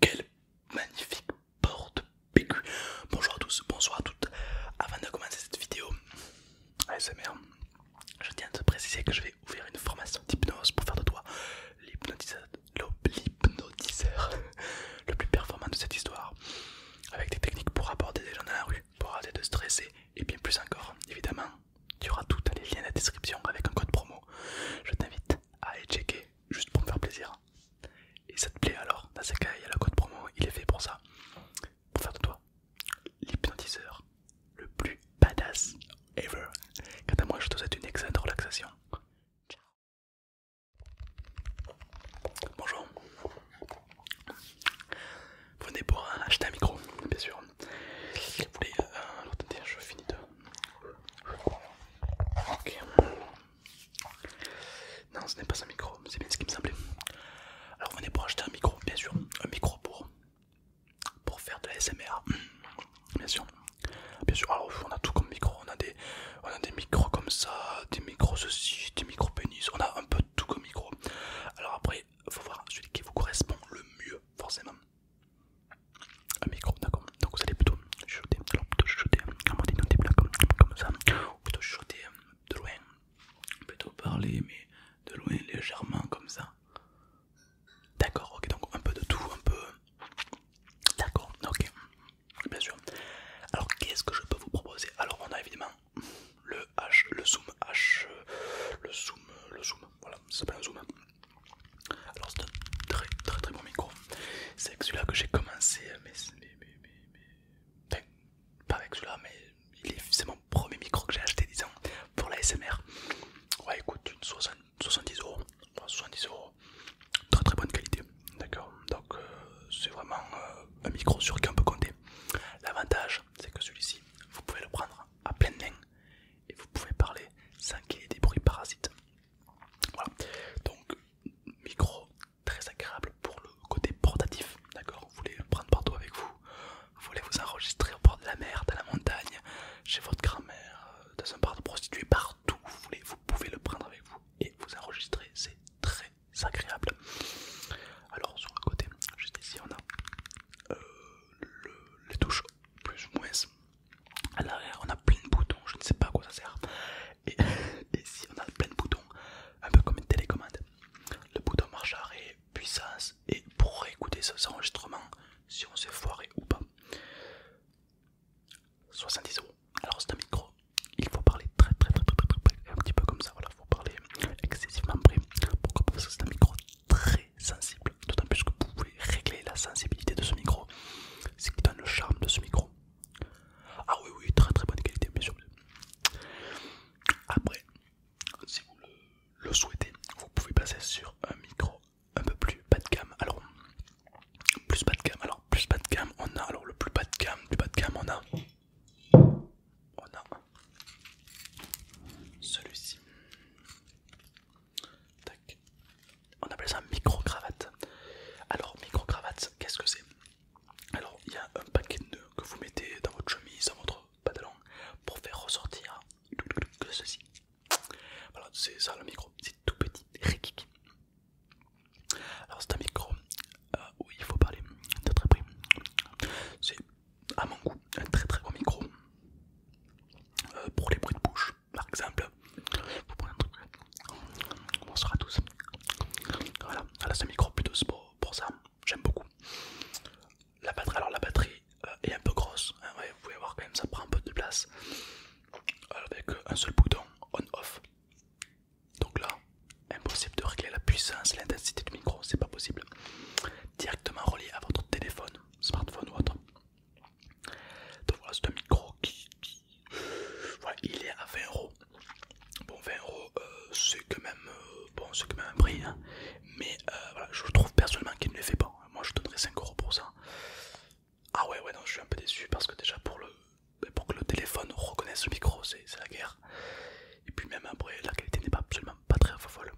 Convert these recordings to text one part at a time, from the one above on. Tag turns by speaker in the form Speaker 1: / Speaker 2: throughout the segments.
Speaker 1: Quelle magnifique porte PQ. Bonjour à tous, bonsoir à toutes. Avant de commencer cette vidéo ASMR, je tiens à te préciser que je vais ouvrir une formation d'hypnose pour faire de toi l'hypnotiseur le plus performant de cette histoire, avec des techniques pour aborder des gens dans la rue, pour arrêter de stresser et bien plus encore, évidemment. Tu auras tout dans les liens de la description avec un code promo. Je t'invite à aller checker juste pour me faire plaisir. Et ça te plaît alors Dans ce cas, il y a le code promo, il est fait pour ça. Pour faire de toi l'hypnotiseur le plus badass ever. Quant à moi, je te souhaite une excellente relaxation. Ciao. Bonjour. Venez pour acheter un micro, bien sûr. Vous euh, voulez, attendez, je finis de Ok. Non, ce n'est pas un micro, c'est bien ce qui me semblait. Alors, venez pour acheter un micro, bien sûr. Un micro pour, pour faire de la SMR. Bien sûr. Bien sûr, alors on a tout comme micro. On a des, des micros comme ça, des micros ceci, des micros pénis. On a un peu tout comme micro. Alors, après, faut voir celui qui vous correspond le mieux, forcément un micro, d'accord. Donc vous allez plutôt chuchoter, alors plutôt chuchoter en mode des comme, ça, ou plutôt chuchoter euh, de loin, plutôt parler, mais de loin, légèrement comme ça. D'accord, ok, donc un peu de tout, un peu. Euh, d'accord, ok, bien sûr. Alors qu'est-ce que je peux vous proposer Alors on a évidemment le H, le zoom H, euh, le zoom, le zoom, voilà, ça s'appelle un zoom. Alors c'est un très très très bon micro. C'est avec celui-là que j'ai commencé, euh, mais, pas avec celui-là, mais c'est mon premier micro que j'ai acheté, disons, pour la SMR. Ouais, écoute, une 70 euros, 70 euros, très très bonne qualité, d'accord. Donc euh, c'est vraiment euh, un micro sur qui on peut compter. L'avantage, c'est que celui-ci, vous pouvez le prendre à pleine main et vous pouvez parler sans qu'il y ait des bruits parasites. Voilà, donc micro très agréable pour le côté portatif, d'accord Vous voulez le prendre partout avec vous, vous voulez vous enregistrer au bord de la mer, dans la montagne, chez votre grand-mère, euh, dans un bar de prostituée, partout vous voulez, vous pouvez le prendre avec vous et vous enregistrer, c'est très agréable. Alors sur le côté, juste ici on a euh, les touches plus ou moins à l'arrière on a plein de boutons, je ne sais pas à quoi ça sert. Et, si on a plein de boutons, un peu comme une télécommande. Le bouton marche arrêt, puissance et pour écouter ce enregistrement si on s'est foiré ou pas. 70 euros. Alors c'est un micro, il faut parler très très très très très, très un petit peu comme ça, voilà, faut parler excessivement près. Pourquoi Parce que c'est un micro très sensible d'autant plus que vous pouvez régler la sensibilité de ce micro, ce qui donne le charme de ce micro. Ah oui, oui, très très bonne qualité, bien sûr. Après, si vous le, souhaitez, vous pouvez passer sur un micro un peu plus bas de gamme. Alors, plus bas de gamme, alors plus bas de gamme, on a alors le plus bas de gamme, du bas de gamme, on a, on a celui-ci. On appelle ça micro-cravate. Alors, micro-cravate, qu'est-ce que c'est Alors, il y a un paquet de nœuds que vous mettez dans votre chemise, dans votre pantalon, pour faire ressortir ceci. Voilà, c'est ça le micro, c'est tout petit, Alors, c'est un micro euh, où il faut parler de très près. C'est à mon goût un très très bon micro euh, pour les bruits de bouche par exemple. Vous prenez un truc. Bonsoir à tous. Voilà, c'est ah, ce micro plutôt pour, pour ça, j'aime beaucoup. La batterie, alors la batterie euh, est un peu grosse, hein. vous pouvez voir quand même ça prend un peu de place. Avec euh, un seul bouton on-off. Donc là, impossible de régler la puissance, l'intensité du micro, c'est pas possible. Directement relié à votre téléphone, smartphone ou autre. Donc voilà, c'est un micro qui. Voilà, il est à 20€ Bon, 20€ euh, c'est quand même euh, bon, même un prix, hein. mais euh, voilà, je trouve personnellement qu'il ne le fait pas. Moi, je donnerais 5€ pour ça. Ah ouais, ouais, non, je suis un peu déçu parce que déjà pour le ben, pour que le téléphone reconnaisse le micro, c'est la guerre. Et puis même après, la qualité n'est pas absolument pas très folle.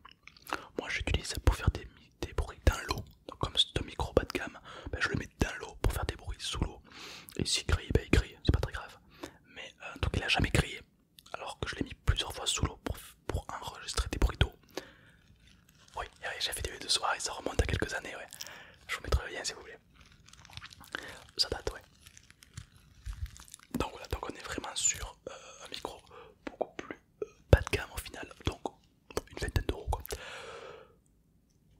Speaker 1: Moi, j'utilise ça pour faire des, des bruits dans l'eau. Donc, comme c'est un micro bas de gamme, ben, je le mets dans l'eau pour faire des bruits sous l'eau. Et s'il grille, ben, il grille, c'est pas très grave. Mais tout euh, donc, il a jamais crié alors que je l'ai mis plusieurs fois sous l'eau pour, enregistrer des bruits d'eau. Oui, j'ai fait des vidéos de soirée, ça remonte à quelques années, Je vous mettrai le lien si vous voulez. Ça date, ouais. Donc voilà, donc on est vraiment sur euh, un micro beaucoup plus euh, bas de gamme au final. Donc une vingtaine d'euros quoi.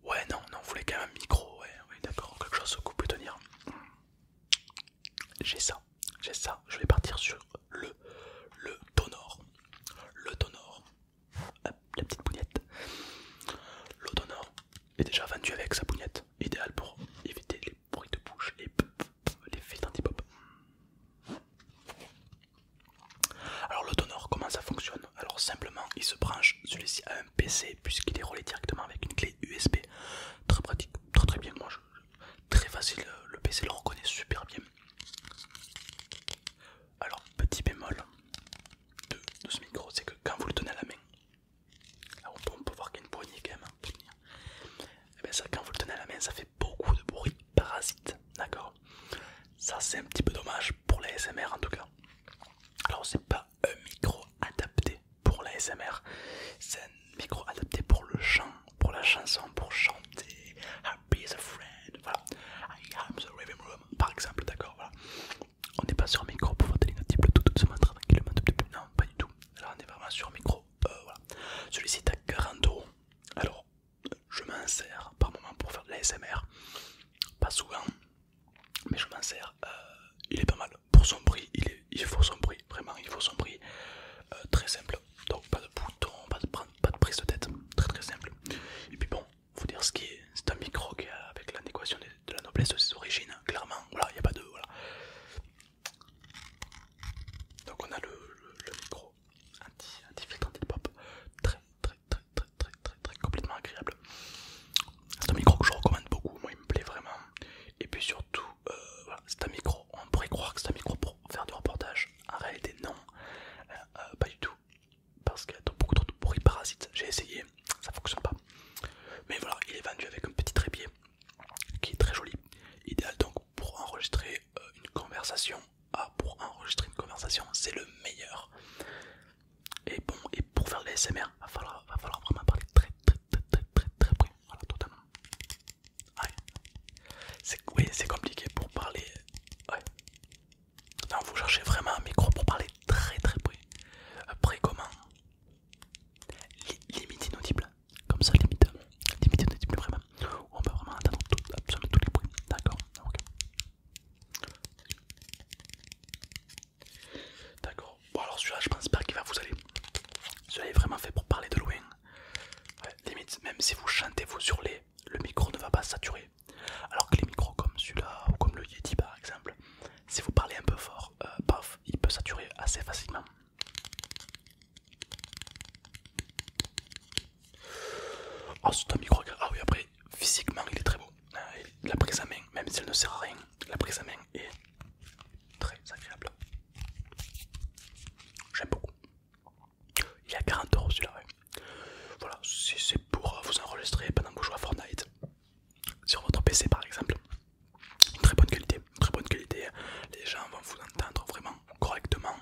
Speaker 1: Ouais non, non, vous voulez quand même un micro, ouais, d'accord, quelque chose que vous pouvez tenir. J'ai ça, j'ai ça, je vais partir sur le, le tonor, le tonor, ah, la petite bougnette. Le tonor est déjà vendu avec sa bougnette, idéal pour éviter les bruits de bouche, les, les anti-pop alors le donneur, comment ça fonctionne Alors simplement, il se branche celui-ci à un PC puisqu'il est relié directement avec une clé USB. Très pratique, très très bien. Moi, très facile. Euh, le PC le reconnaît super bien. Alors petit bémol de, ce micro, c'est que quand vous le tenez à la main, on, peut, voir qu'il y a une poignée quand même. Et hein, eh bien ça, quand vous le tenez à la main, ça fait beaucoup de bruit parasite, d'accord ça c'est un petit peu dommage pour l'ASMR en tout cas. Alors c'est pas un micro adapté pour l'ASMR c'est un micro adapté pour le chant, pour la chanson, pour chanter. Happy is a friend, I am the living room, par exemple, d'accord, voilà. On n'est pas sur un micro pour petite ligne tout doucement, tranquillement, non, pas du tout. alors on est vraiment sur un micro, euh, voilà. Celui-ci est à 40 euros. Alors je m'en par moment pour faire de la SMR, pas souvent, mais je m'en euh, il est pas mal pour son prix, il, il faut son prix, vraiment il faut son prix. Euh, très simple, donc pas de bouton, pas de, prise de tête, très très simple. Et puis bon, vous dire ce qui est, c'est un micro qui avec l'adéquation de, la noblesse de ses origines, hein, clairement. Voilà, il n'y a pas de Donc on a le, micro anti-filtre anti, pop très pop, très très très très très très complètement agréable. C'est un micro que je recommande beaucoup, moi il me plaît vraiment. Et puis surtout, euh, voilà, c'est un micro, on pourrait croire que c'est un micro pour faire du reportage, en réalité non, euh, euh, pas du tout. Parce qu'il y a beaucoup trop de bruit parasite, j'ai essayé, ça fonctionne pas. Mais voilà, il est vendu avec un petit trépied qui est très joli, idéal donc pour enregistrer euh, une conversation, ah, pour enregistrer une conversation, c'est le meilleur. Et bon, et pour faire les l'ASMR, va falloir, parler très très très très très C'est compliqué pour parler. vraiment un micro pour parler très très près. Après, euh, comment Limite inaudible. Comme ça, limite, inaudible vraiment. On peut vraiment absolument D'accord, D'accord. Bon alors celui-là je pense pas qu'il va vous aller. Celui-là est vraiment fait pour parler de loin. limite, même si vous chantez, vous les, le micro ne va pas saturer. Alors que les micros comme celui-là ou comme le Yeti par exemple, si vous parlez un peu fort, euh, paf, il peut saturer assez facilement. Ah, c'est un micro Ah oui, après, physiquement, il est très beau. Euh, la prise à main, même si elle ne sert à rien, la prise à main est très agréable. J'aime beaucoup. Il est à 40 euros celui-là. Voilà, si c'est pour euh, vous enregistrer pendant que vous jouez à Fortnite sur votre PC par exemple. très bonne qualité, très bonne qualité. Les gens vont vous entendre vraiment correctement.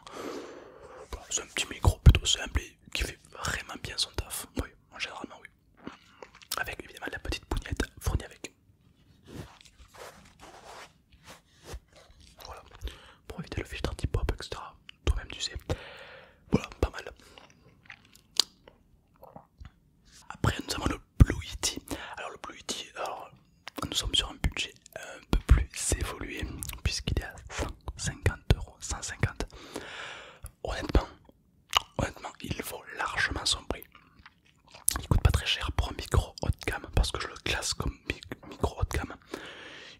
Speaker 1: c'est un petit micro plutôt simple qui fait vraiment bien son taf. Oui, en général, oui. Avec évidemment la petite bougnette fournie avec. Voilà, pour éviter le filtre anti-pop, etc. Toi-même, tu sais. Voilà, pas mal. Après, nous avons le Blue Yeti. Alors, le Blue Yeti, alors, nous sommes sur un budget un peu plus évolué, puisqu'il est à 50 euros, 150. Honnêtement, honnêtement, il vaut largement son prix. Il coûte pas très cher pour un micro haut de gamme parce que je le classe comme micro haut de gamme.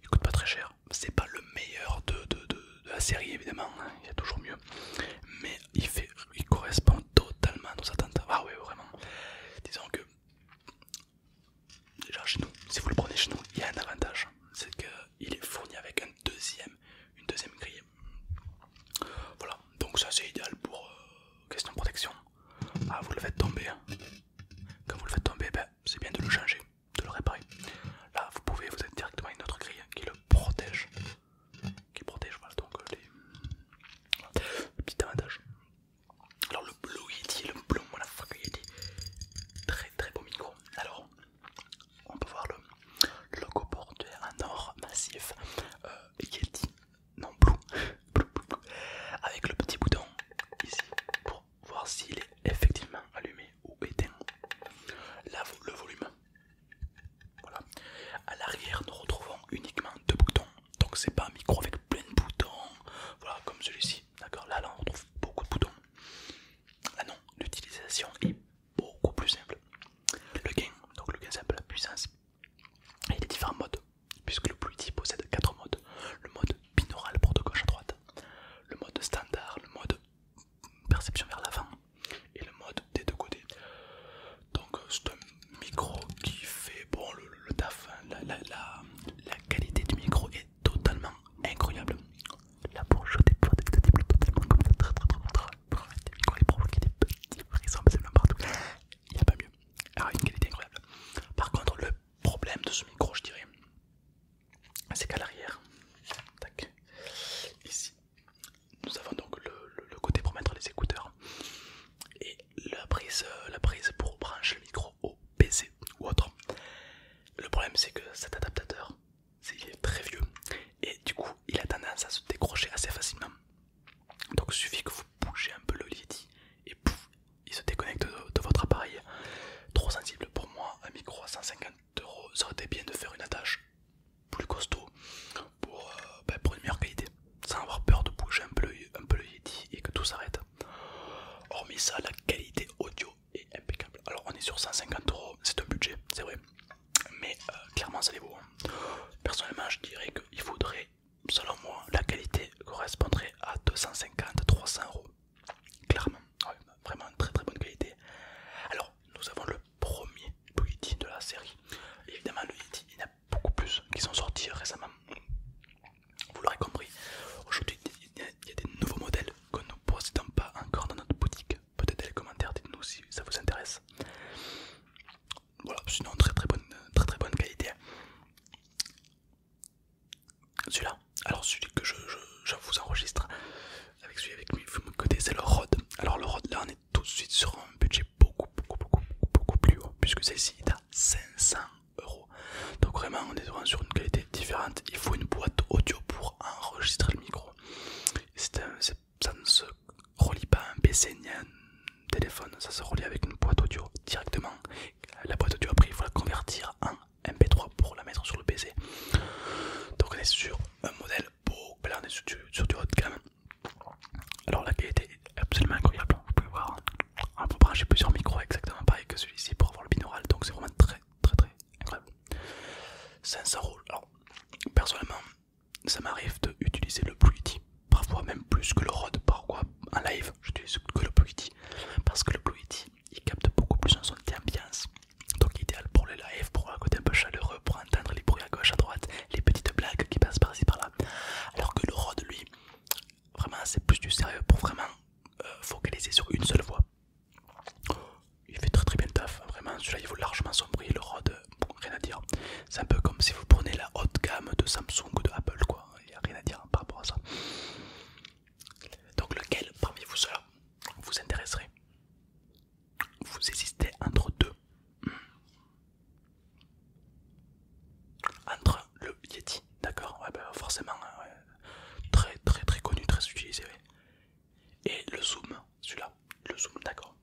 Speaker 1: Il coûte pas très cher. C'est pas le meilleur de, la série évidemment, hein. il y a toujours mieux. Mais il fait, il correspond totalement à nos attentes. Ah oui vraiment. Disons que Déjà chez nous, si vous le prenez chez nous, il y a un avantage, c'est qu'il est fourni avec un deuxième, une deuxième grille. Voilà, donc ça c'est idéal pour euh, question question protection. Ah, vous le faites tomber. Hein. Quand vous le faites tomber, ben, c'est bien de le changer, de le réparer. Là, vous pouvez vous êtes directement une autre grille hein, qui le protège, qui protège. Voilà donc euh, les petit avantage. Alors le Blue Yeti, le Blue Yeti, très très beau micro. Alors on peut voir le, logo porteur en or massif euh, non blue, avec le petit bouton ici pour voir s'il est effectivement allumé ou éteint. Là, le volume. Voilà. À l'arrière, nous retrouvons uniquement deux boutons. Donc c'est pas un micro avec plein de boutons. Voilà, comme celui-ci. D'accord. Là, là, on retrouve beaucoup de boutons. Ah non, l'utilisation est beaucoup plus simple. Le gain, donc le gain simple, la puissance, et a différents modes, puisque le petit possède 4 modes. Le mode binaural pour de gauche à droite, le mode standard, le mode perception vers l'avant et le mode des deux côtés. Donc euh, c'est un micro qui fait bon le, taf, hein, la, la qualité du micro est totalement incroyable. La pour des des totalement comme ça, très très très des Il n'y a pas mieux. Alors une qualité incroyable. Par contre le problème de ce micro je dirais, c'est qu'à l'arrière, ici, nous avons donc le, côté pour mettre les écouteurs et la prise, la prise pour brancher le micro au PC ou autre. Le problème c'est que cet adaptateur c'est il est très vieux et du coup il a tendance à se décrocher assez facilement. Donc il suffit que vous bougez un peu le Yeti et pouf, il se déconnecte de, votre appareil. Trop sensible pour moi, un micro à 150 euros, ça aurait été bien de faire une attache plus costaud pour, euh, ben, une meilleure qualité, sans avoir peur de bouger un peu, un peu le Yeti et que tout s'arrête. Hormis ça, la qualité audio et impeccable. Alors on est sur 150 euros, c'est un budget, c'est vrai, mais euh, clairement ça les vaut. Hein. Personnellement, je dirais qu'il faudrait, selon moi, la qualité correspondrait à 250-300 euros. Clairement, vraiment une très très bonne qualité. Alors nous avons le premier Blue de la série. Évidemment, le Yeti, il y en a beaucoup plus qui sont sortis récemment. Vous l'aurez compris, aujourd'hui il y a des nouveaux modèles que nous ne possédons pas encore dans notre boutique. Peut-être dans les commentaires, dites-nous si ça vous intéresse. Voilà, sinon très très bonne, très, très bonne qualité. Celui-là, alors celui que je, vous enregistre avec celui avec me côtés, c'est le rod. Alors le rod là on est tout de suite sur un budget beaucoup beaucoup beaucoup beaucoup, plus haut puisque celle-ci est à 500 euros. Donc vraiment on est vraiment sur une qualité différentes. Il faut une boîte audio pour enregistrer le micro. ça ne se relie pas à un PC ni à un téléphone, ça se relie avec une boîte audio directement. La boîte audio, après, il faut la convertir en MP3 pour la mettre sur le PC. Donc, on est sur un modèle beau, là on est sur du, haut de gamme. Alors, la qualité est absolument incroyable. Vous pouvez voir, on peut brancher plusieurs micros exactement pareil que celui-ci pour avoir le binaural, donc c'est vraiment très très très incroyable. 500 Alors, personnellement, ça m'arrive utiliser le Yeti parfois même plus que le Rode. parfois En live, j'utilise que le Yeti parce que le Yeti il capte beaucoup plus en son d'ambiance, donc idéal pour les lives, pour un côté un peu chaleureux, pour entendre les bruits à gauche, à droite, les petites blagues qui passent par-ci par-là. Alors que le rod lui, vraiment, c'est plus du sérieux pour vraiment euh, focaliser sur une seule voix. Il fait très très bien le taf, hein, vraiment celui-là il vaut largement son le Rode, rien à dire. C'est un peu comme si vous prenez la haute gamme de Samsung ou de Apple quoi, il n'y a rien à dire par rapport à ça. Donc lequel parmi vous cela vous intéresserez Vous existez entre deux. Entre le Yeti, d'accord, ouais, bah forcément, hein, très très très connu, très utilisé. Et le zoom, celui-là, le zoom, d'accord.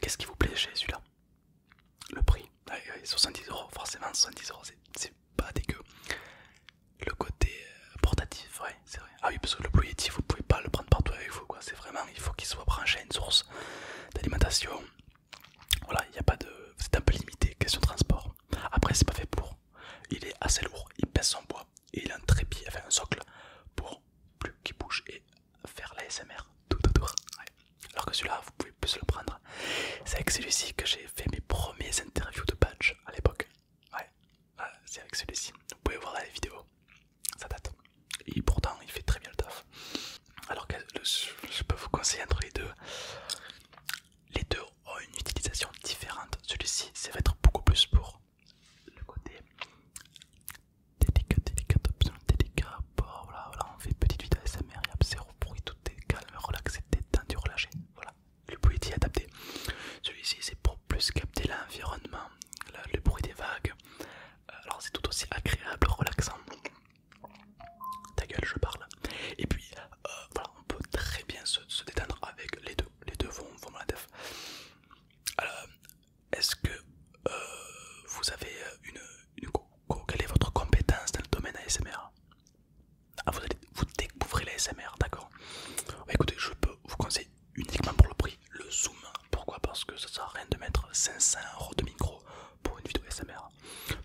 Speaker 1: Qu'est-ce qui vous plaît chez celui-là Le prix, 70 ah, euros, forcément 70 euros, c'est pas dégueu. Le côté euh, portatif, ouais, c'est vrai. Ah oui, parce que le Blue vous pouvez pas le prendre partout avec vous, quoi. C'est vraiment, il faut qu'il soit branché à une source d'alimentation, voilà, il n'y a pas de. C'est un peu limité, question transport. Après, c'est pas fait pour. Il est assez lourd, il baisse en bois et il a un trépied, enfin un socle pour plus qu'il bouge et faire l'ASMR tout autour. Alors que celui-là, vous pouvez plus le prendre. C'est avec celui-ci que j'ai fait mes premiers interviews de badge à l'époque. Ouais, c'est avec celui-ci. Vous pouvez voir dans vidéo ça date. Et pourtant, il fait très bien le taf. Alors que je peux vous conseiller entre les deux les deux ont une utilisation différente. Celui-ci, c'est va être beaucoup plus pour le côté délicat, délicat, délicat. voilà, on fait petite vidéo ASMR, il y a zéro bruit, tout est calme, relaxé, détendu, relâché. Voilà, le bruit est adapté. Celui-ci, c'est pour plus capter l'environnement, le, le bruit des vagues. Euh, alors, c'est tout aussi agréable, relaxant. Ta gueule, je parle. Et puis, euh, voilà, on peut très bien se, détendre avec les deux. Les deux vont, vont la def. Alors, est-ce que euh, vous avez euh, une, Quelle est votre compétence dans le domaine ASMR ah, vous, vous découvrez l'ASMR d'accord bah, Écoutez, je peux vous conseiller uniquement pour le prix le zoom. Pourquoi Parce que ça sert à rien de mettre 500 euros de micro pour une vidéo SMR.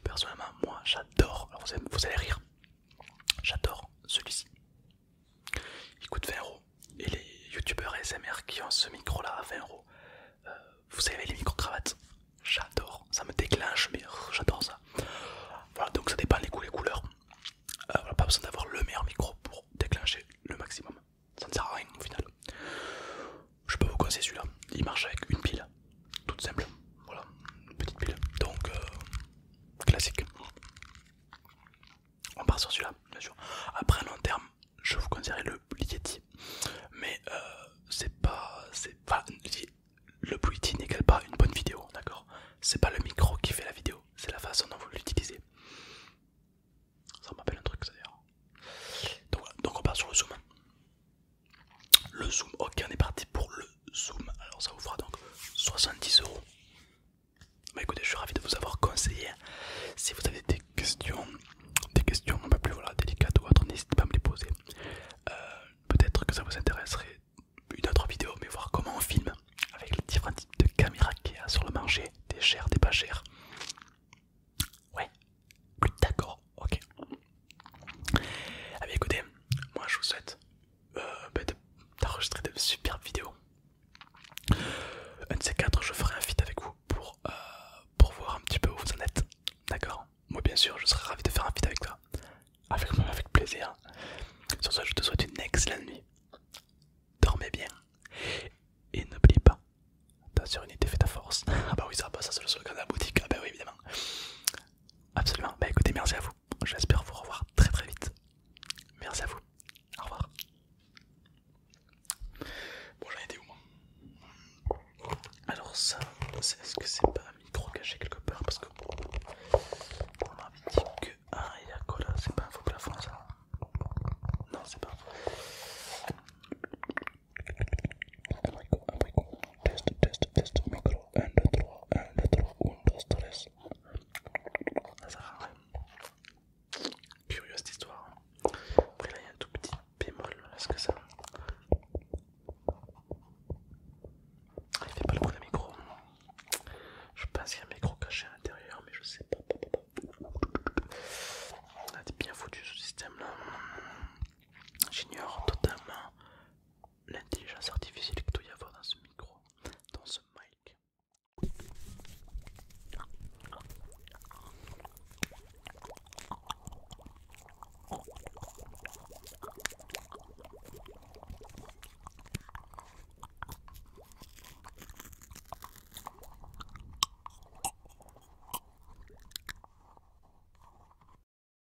Speaker 1: Personnellement, moi j'adore, alors vous allez, rire, j'adore celui-ci. Il coûte 20€, et les youtubeurs SMR qui ont ce micro là à 20€, euh, vous savez, les micro-cravates, j'adore, ça me déclenche, mais oh, j'adore ça. Voilà, donc ça dépend les goûts, couleurs. Euh, pas besoin d'avoir le meilleur micro pour déclencher le maximum. Ça ne sert à rien au final. Je peux vous conseiller celui-là. Il marche avec une pile toute simple, voilà, une petite pile, donc euh, classique. On part sur celui-là, bien sûr. Après, à long terme, je vous conseillerais le Yeti, mais euh, pas, c'est pas. le Blue Yeti qu'elle pas une bonne vidéo, d'accord C'est pas le micro qui fait la vidéo, c'est la façon dont vous l'utilisez. Ça m'appelle un truc, d'ailleurs. Donc, donc on part sur le zoom. Le zoom, ok on est parti pour le zoom, alors ça vous fera donc 70 euros. Mais écoutez, je suis ravi de vous avoir conseillé. Si vous avez des questions, des questions un peu plus voilà, délicates ou autres, n'hésitez pas à me les poser. Euh, peut-être que ça vous intéresserait une autre vidéo, mais voir comment on filme avec les différents types de caméras qu'il y a sur le marché, des chères, des pas chères. Ouais, d'accord, ok. Ah écoutez, moi je vous souhaite euh, bah, d'enregistrer de, superbes vidéos. Un de ces quatre, je ferai un feat avec vous pour, euh, pour voir un petit peu où vous en êtes. D'accord Moi bien sûr, je serai ravi de faire un feed avec toi. Avec avec plaisir. Sur ce, je te souhaite une excellente nuit. Dormez bien. Et n'oublie pas, ta une fait ta force. Ah bah oui, ça, pas bah, ça c'est le gars de la boutique. Ah bah oui, évidemment. Absolument. Bah écoutez, merci à vous. J'espère vous revoir très très vite. Merci à vous. Au revoir. Bon, j'en été où Alors, ça, est-ce que c'est pas un micro caché quelque part Parce que on m'a dit que. Ah, il y a quoi là C'est pas un faux plafond ça Non, c'est pas un faux. test, test, test, micro. 1, 2, 3, 1, 2, 3, 1, 2, 3. Ça sert à rien. cette histoire. Après, là, il y a un tout petit bémol. Est-ce que ça. il fait pas le coup de micro. Je pense qu'il y a un micro caché à l'intérieur, mais je sais pas. Ah, t'es bien foutu ce système là. J'ignore totalement l'intelligence artificielle que doit y avoir dans ce micro, dans ce mic.